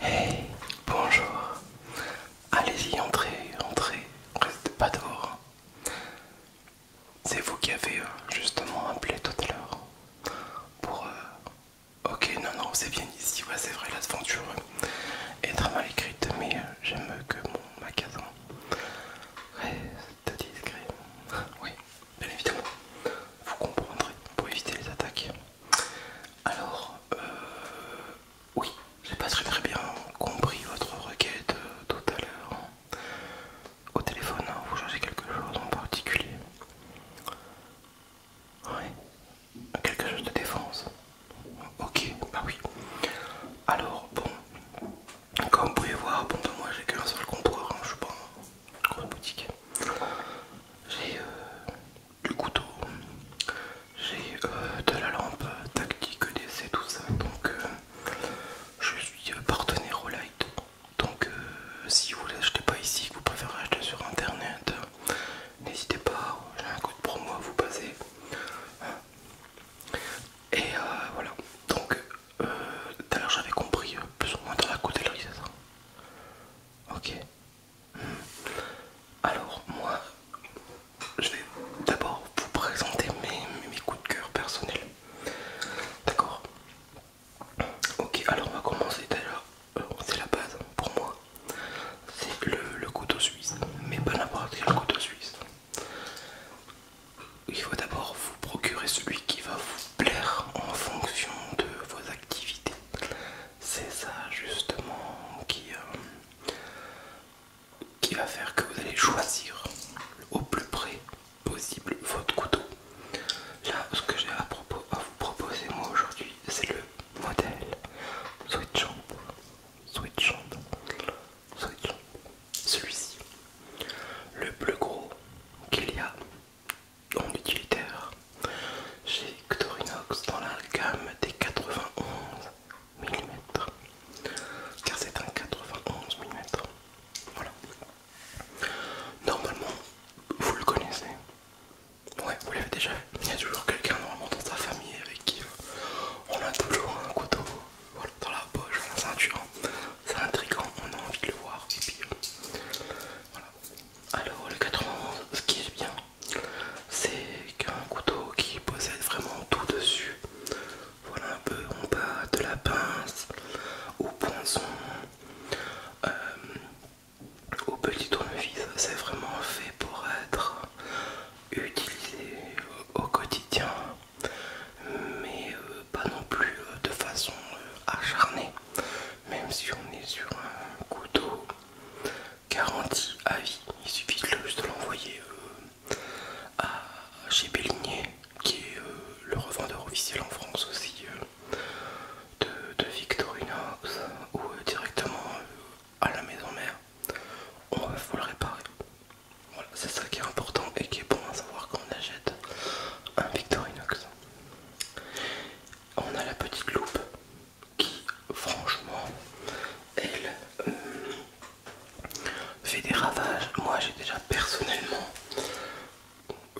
Hey, bonjour. Allez-y, entrez, entrez, restez pas dehors. C'est vous qui avez euh, justement appelé tout à l'heure pour euh, Ok, non, non, c'est bien ici, c'est vrai, l'aventure est très mal écrite, mais euh, j'aime que mon magasin reste discret. Oui, bien évidemment, vous comprendrez pour éviter les attaques. Alors, euh, oui, j'ai pas très très bien compris votre requête euh, tout à l'heure au téléphone, hein, vous cherchez quelque chose en particulier. Oui, quelque chose de défense. Ok, bah oui. Alors, bon, comme vous pouvez voir, bon, moi j'ai qu'un seul comptoir, hein, je suis pas en boutique. J'ai euh, du couteau, j'ai euh, de la lampe tactique, d'essai, tout ça, donc euh, je suis partenaire au light donc euh, si vous ne l'achetez pas ici, que vous préférez acheter sur internet, n'hésitez pas, j'ai un coup de promo à vous passer. Hein. Et euh, voilà, donc d'ailleurs euh, j'avais compris, plus ou moins dans la coutellerie, Ok. Hmm. Alors moi, je vais d'abord vous présenter mes, coups de cœur personnels. D'accord Ok, alors on va commencer d'ailleurs, euh, c'est la base pour moi. C'est le, couteau suisse, mais pas n'importe quel couteau suisse. Il faut d'abord vous procurer celui qui va vous plaire en fonction de vos activités. C'est ça justement qui, euh, qui va faire que vous allez choisir au plus près possible votre couteau. Là, ce que j'ai à, propos, vous proposer moi aujourd'hui, c'est le modèle Switchon. Switchon. Switchon. Celui-ci. Le plus gros qu'il y a en utilitaire chez Ctorinox dans la gamme des 91 mm. Car c'est un 91 mm. Voilà. Normalement, vous le connaissez. Ouais, vous l'avez déjà Il y a toujours quelqu'un normalement dans sa famille avec qui euh, on a toujours un couteau dans la poche, la C'est intrigant, on a envie de le voir. Euh, voilà. Alors, le 91, ce qui est bien, c'est qu'un couteau qui possède vraiment tout dessus. Voilà un peu, on passe de la pince au poinçon, euh, au petit tournevis. C'est vraiment fait pour être utilisé au quotidien, mais euh, pas non plus euh, de façon acharnée, même si on est sur un couteau garanti à vie. Il suffit juste de l'envoyer chez Bélinier qui est euh, le revendeur officiel en France aussi euh, de, Victorinox ou euh, directement à la maison mère. On va le réparer. Voilà, c'est ça qui est important et qui est bon à savoir quand on achète un Victorinox. On a la petite loupe qui, franchement, elle, fait des ravages. Moi j'ai déjà personnellement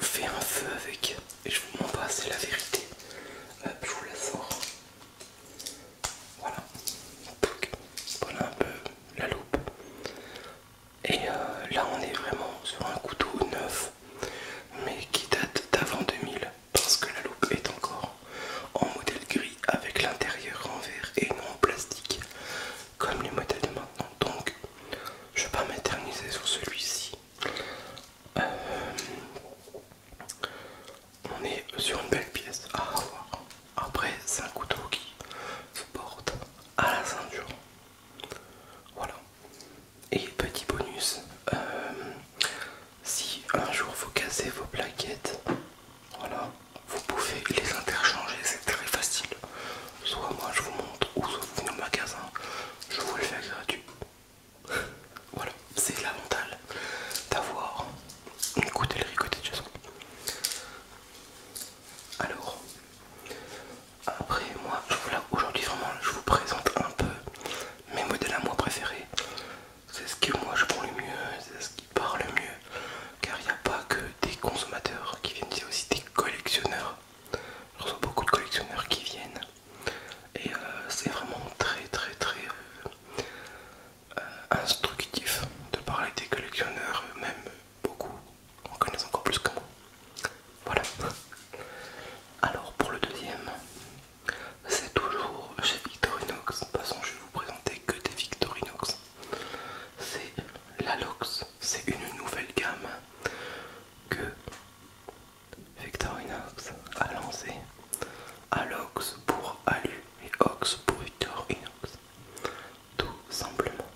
fait un feu avec et je vous passe' c'est la vérité. Euh, je vous la sors. Voilà. Voilà un peu la loupe. Et euh, là on est vraiment sur un couteau neuf mais qui date d'avant 2000 parce que la loupe est encore en modèle gris avec l'intérieur en verre et non en plastique comme les modèles de maintenant. Donc, je vais pas m'éterniser sur celui-ci. Euh, on est sur une belle pièce à ah, avoir. Après, c'est un couteau qui se porte à la ceinture. Voilà. Et petit bonus, euh, si un jour vous cassez vos plaquettes, voilà, vous pouvez les interchanger, c'est très facile. Soit moi je vous montre, ou soit vous venez au magasin, je vous le fais gratuit. Voilà, c'est mentale d'avoir une les ricotée de Alors, après moi, aujourd'hui vraiment, je vous présente un peu mes modèles à moi préférés. C'est ce que moi je prends le mieux, c'est ce parle mieux car il n'y a pas que des consommateurs qui viennent, il aussi des collectionneurs. Je reçois beaucoup de collectionneurs qui viennent et euh, c'est vraiment très très très euh, euh, instructif de parler des collectionneurs, même beaucoup en connaissent encore plus que moi. Voilà. Alors pour le deuxième, c'est toujours chez Victorinox. De toute façon, je vais vous présenter que des Victorinox c'est l'Alox. C'est une nouvelle gamme que Victorinox a lancée. Alox pour Alu et Ox pour Victorinox. Tout simplement.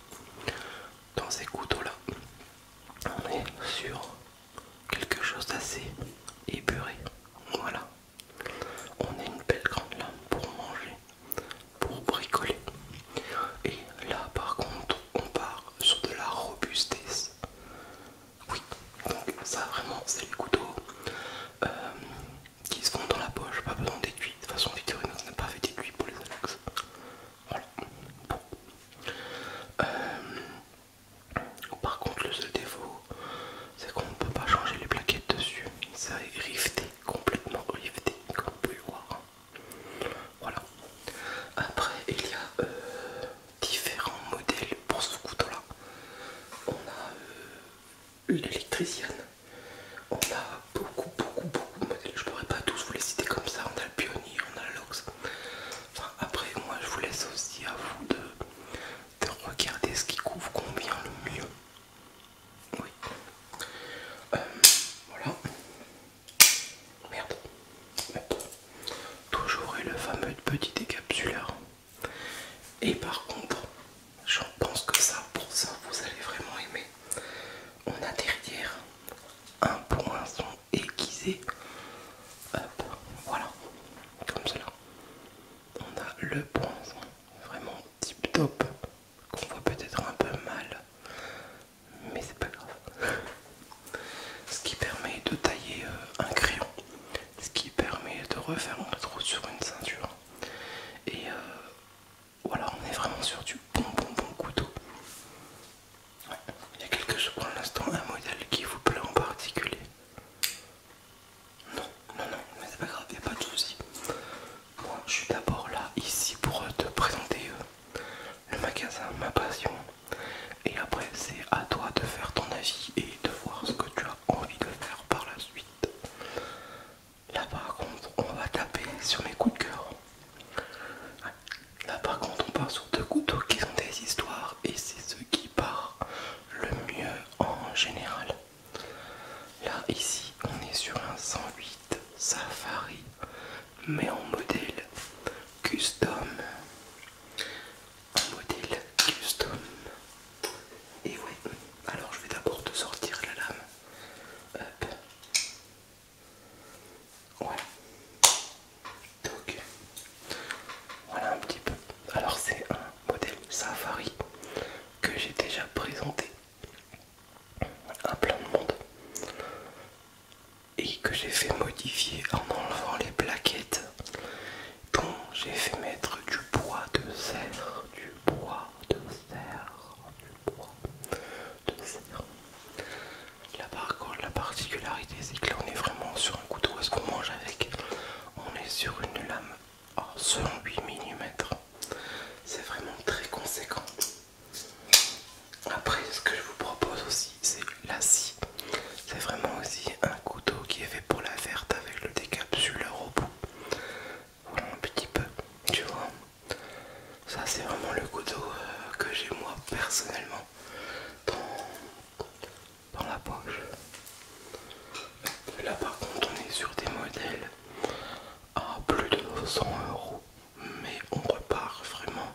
Dans ces couteaux-là, on est sur quelque chose d'assez épuré. Voilà, on a une belle grande lame pour manger, pour bricoler. Et là par contre on part sur de la robustesse. Oui, donc ça vraiment c'est les couteaux euh, qui se font dans la poche, pas besoin d'étui. De toute façon Victorinox n'a pas fait d'étui pour les annexes. Voilà. Euh, par contre le seul défaut c'est qu'on ne peut pas changer les plaquettes dessus, ça est rifté complètement riveté comme vous pouvez le voir. Voilà. Après il y a euh, différents modèles pour ce couteau-là. On a euh, l'électricienne. On a beaucoup beaucoup beaucoup de modèles. Je pourrais pas tous vous les citer comme ça. On a le pionnier, on a lox. après moi je vous laisse aussi à vous de regarder ce qui couvre combien le mieux. Oui. Euh, voilà. Merde. Toujours eu le fameux petit décapsuleur. Et par contre, j'en pense que ça, pour ça, vous allez vraiment aimer. On a derrière un poinçon aiguisé. Hop, voilà, comme cela. On a le poinçon vraiment tip top qu'on voit peut-être un peu mal mais c'est pas grave ce qui permet de tailler euh, un crayon ce qui permet de refaire un trou sur une ceinture et euh, voilà on est vraiment sur du bon bon bon couteau il y a quelque chose pour l'instant un modèle qui vous plaît en particulier non, non, non, mais c'est pas grave, y pas de soucis, Moi, je suis d'abord là, ici, pour euh, te présenter euh, le magasin, ma passion. Et après, c'est à toi de faire ton avis et de voir ce que tu as envie de faire par la suite. Là, par contre, on va taper sur mes coups de cœur. Là, par contre, on part sur deux couteaux qui sont des histoires et c'est ce qui part le mieux en général. Là, ici, on est sur un 108 Safari, mais en modèle custom. En modèle custom. Et ouais, alors je vais d'abord te sortir la lame. Hop. Ouais. Donc, voilà un petit peu. Alors c'est un modèle Safari que j'ai déjà présenté à plein de monde et que j'ai fait modifier en enlevant les plaquettes dont j'ai fait mettre du bois de serre, du bois de serre, du bois de serre. la particularité c'est que là on est vraiment sur un couteau à ce qu'on mange avec, on est sur une lame selon 8 mm. C'est vraiment très conséquent. Après, ce que je vous propose aussi, c'est la scie. C'est vraiment aussi un couteau qui est fait pour la verte avec le décapsuleur au bout. Voilà un petit peu, tu vois. Ça, c'est vraiment le couteau euh, que j'ai moi personnellement dans la poche. Là par contre on est sur des modèles à plus de 900 euros mais on repart vraiment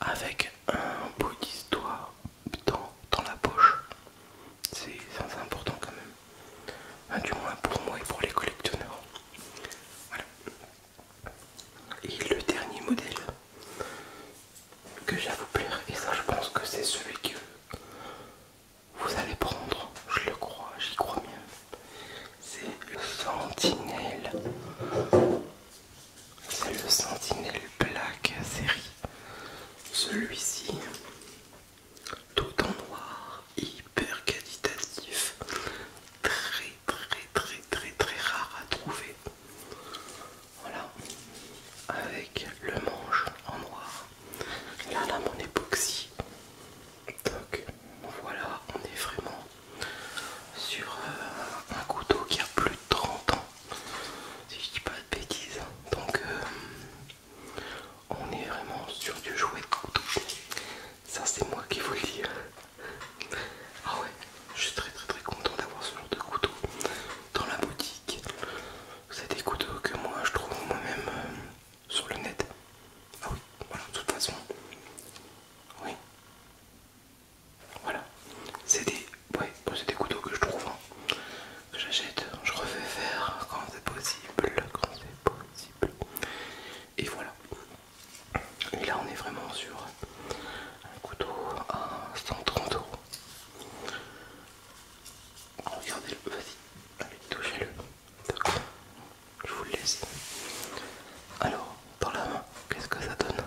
avec un bout d'histoire dans, dans la poche. C'est important quand même. du moins pour moi et pour les collectionneurs. Voilà. Et le dernier modèle, que j'avoue plaire et ça je pense que c'est celui que vous allez prendre, je le crois, j'y crois bien. C'est le Sentinelle. C'est le Sentinelle Black série. Celui-ci, tout en noir, hyper qualitatif, très très très très très rare à trouver. Voilà, avec le manche en noir. Là, la lame en époxy. Donc voilà, on est vraiment sur euh, un couteau qui a plus de 30 ans, si je dis pas de bêtises. Donc euh, on est vraiment sur du jouet de couteau. Ça c'est moi qui vous le dis. Ah ouais, je suis très très très content d'avoir ce genre de couteau dans la boutique. C'est des couteaux que moi je trouve moi-même euh, sur le net. Ah oui, voilà, de toute façon. Oui. Voilà. C'est des, ouais, des couteaux que je trouve. Hein, que J'achète, je refais faire quand c'est possible. Quand c'est possible. Et voilà. Et là on est vraiment sur un couteau à 130 euros. Regardez-le, vas-y, allez, touchez-le. D'accord, je vous le laisse. Alors, dans la main, qu'est-ce que ça donne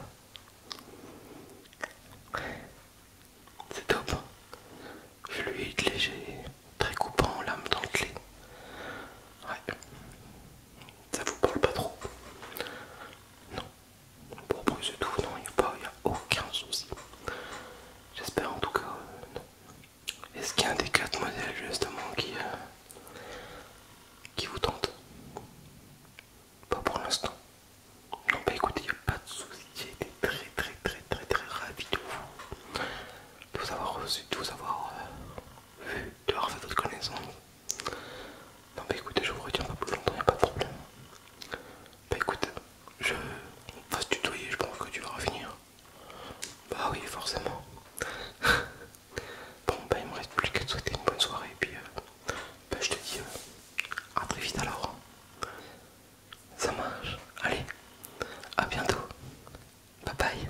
C'est top. Je lui ai léger, très coupant, lame dans le clé. Ouais. Ça vous parle pas trop Non, pour plus tout, non, il n'y a, aucun souci. J'espère en tout cas. Euh, est-ce qu'il y a un des quatre modèles justement qui, euh, qui vous tente Pas pour l'instant. Non, bah écoutez, il n'y a pas de souci. J'ai été très, très, très, très, très ravi de vous, avoir reçu, de vous avoir euh, vu, de avoir fait votre connaissance. Non bah écoutez, je vous retiens pas plus longtemps, y a pas de problème. Bah écoute, je on va tutoyer, je pense que tu vas revenir. Bah oui, forcément. bon bah il me reste plus qu'à te souhaiter une bonne soirée et puis euh, bah je te dis euh, à très vite alors. Ça marche. Allez, à bientôt. Bye bye.